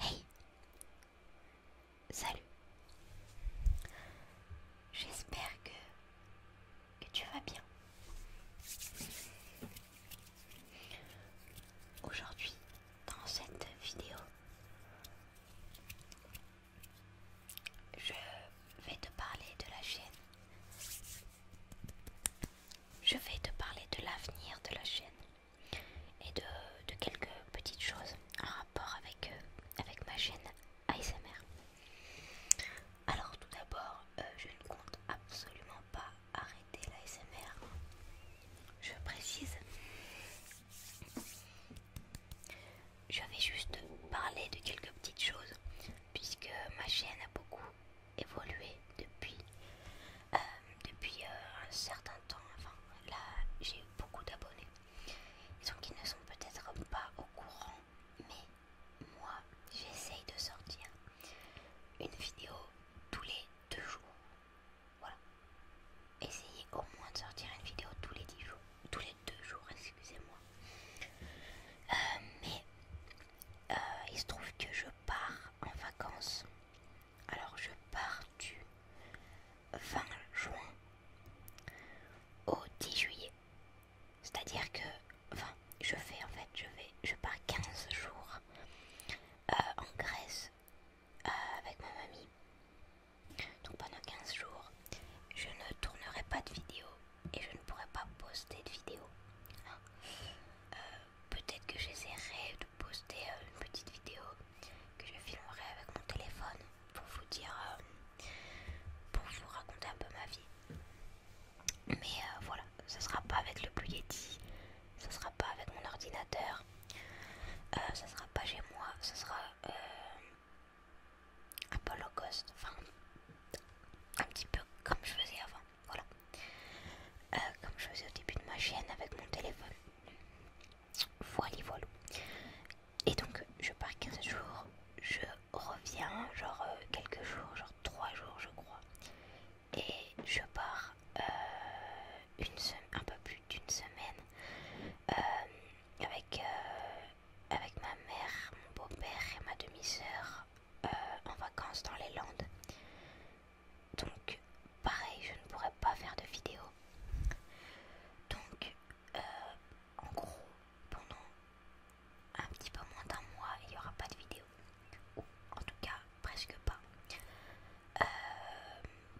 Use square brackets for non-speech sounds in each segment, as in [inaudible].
Hey Salut J'espère que, que tu vas bien. Aujourd'hui, dans cette vidéo, je vais te parler de la chaîne je vais te parler de l'avenir de la chaîne et de, quelques petites choses en rapport avec, euh, ma chaîne ASMR. Alors tout d'abord, euh, je ne compte absolument pas arrêter l'ASMR. Je précise, je vais juste parler de quelques petites choses puisque ma chaîne a beaucoup évolué depuis, euh, depuis euh, un certain temps. Enfin, là, j'ai beaucoup d'abonnés. Donc, ils ne sont peut-être pas au courant, mais moi, j'essaye de sortir une vidéo tous les deux jours. Voilà. Essayez au moins de sortir une vidéo tous les dix jours. Tous les deux jours, excusez-moi. Euh, mais euh, il se trouve que je pars en vacances. Alors je pars du 20 juin au 10 juillet. C'est-à-dire que, je fais en fait, je vais, je pars 15 jours euh, en Grèce euh, avec ma mamie. Donc pendant 15 jours, je ne tournerai pas de vidéo et je ne pourrai pas poster de vidéo. Euh, peut-être que j'essaierai de poster euh, une petite vidéo que je filmerai avec mon téléphone pour vous dire, euh, pour vous raconter un peu ma vie. Mais voilà, ça sera pas avec le Blue ce ça sera pas avec mon ordinateur, ce ça sera pas chez moi, ça sera un enfin un petit peu comme je faisais avant, voilà, euh, comme je faisais au début de ma chaîne avec mon téléphone. Voilà, voilou Et donc je pars 15 jours, je reviens genre euh, quelques jours, genre 3 jours je crois. Et je pars euh, une semaine, un peu plus d'une semaine avec, euh, avec ma mère, mon beau-père et ma demi-sœur euh, en vacances dans les Landes. Donc pareil, je ne pourrai pas faire de vidéo. Donc euh, en gros, pendant un petit peu moins d'un mois, il n'y aura pas de vidéo. Ou en tout cas, presque pas.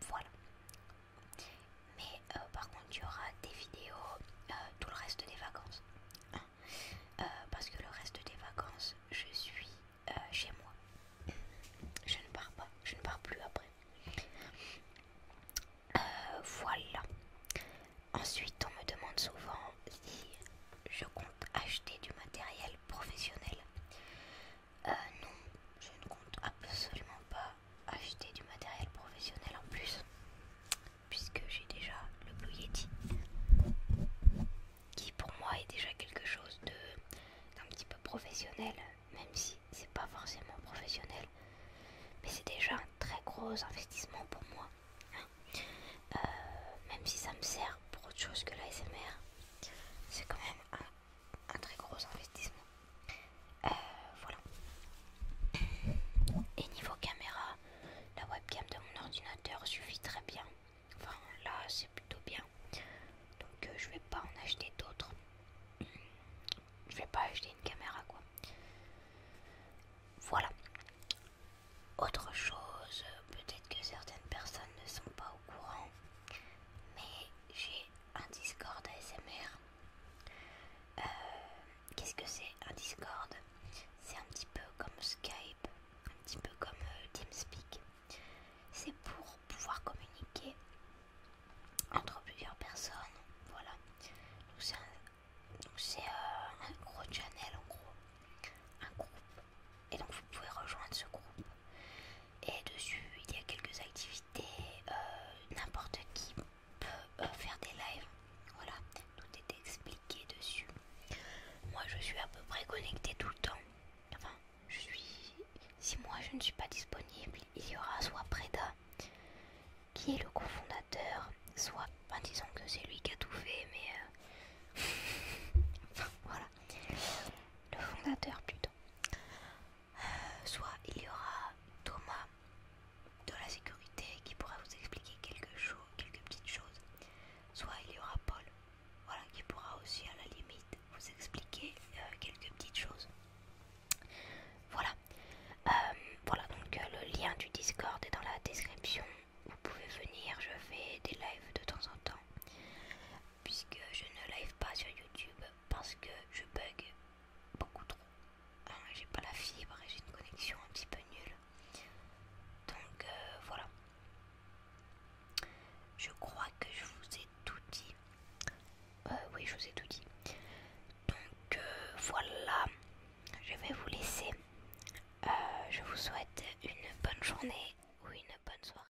voilà mais euh, par contre il y aura des vidéos euh, tout le reste des vacances euh, parce que le reste des vacances je suis chez moi je ne pars pas je ne pars plus après voilà ensuite on me demande souvent si je compte acheter du matériel professionnel non je ne compte absolument pas acheter du matériel professionnel en plus puisque j'ai déjà le Blue Yeti qui pour moi est déjà quelque chose d'un petit peu professionnel même si c'est pas forcément professionnel mais c'est déjà un très gros investissement pour moi hein. euh, même si ça me sert pour autre chose que l'ASMR c'est quand même un très gros investissement euh, voilà. Et niveau caméra, la webcam de mon ordinateur suffit très bien. Enfin, là, c'est plutôt bien. Donc, euh, je vais pas en acheter d'autres. Je vais pas acheter une caméra, quoi. Voilà. Autre chose, peut-être que certaines personnes ne sont pas au courant, mais j'ai un Discord ASMR euh, qu'est-ce que c'est un Discord C'est un petit peu comme Skype, un petit peu comme euh, TeamSpeak. C'est pour pouvoir communiquer entre plusieurs personnes. Voilà. Donc c'est euh, un gros channel en gros. Un groupe. Et donc vous pouvez rejoindre ce groupe. Et dessus, il y a quelques activités. Euh, n'importe qui peut euh, faire des lives. Voilà, tout est expliqué dessus. Moi, je suis à peu près connectée tout le temps. Enfin, je suis. Si moi je ne suis pas disponible, il y aura soit Preda, qui est le cofondateur, soit. Enfin, disons que c'est lui qui a tout fait, mais. Euh, [laughs] voilà. Le fondateur plutôt. Euh, soit il y aura Thomas de la sécurité qui pourra vous expliquer quelque chose, quelques petites choses. Soit il y aura Paul, voilà, qui pourra aussi à la limite vous expliquer euh, quelques petites choses. Voilà. Euh, voilà, donc le lien du Discord est dans la description. Vous pouvez venir, je fais des lives de temps en temps. Puisque je ne live pas sur YouTube parce que je bug beaucoup trop. Hein, j'ai pas la fibre et j'ai une connexion un petit peu nulle. Donc euh, voilà. Je crois que je vous ai tout dit. Euh, oui, je vous ai tout dit. Donc euh, voilà. Je vais vous laisser. je vous souhaite une bonne journée ou une bonne soirée.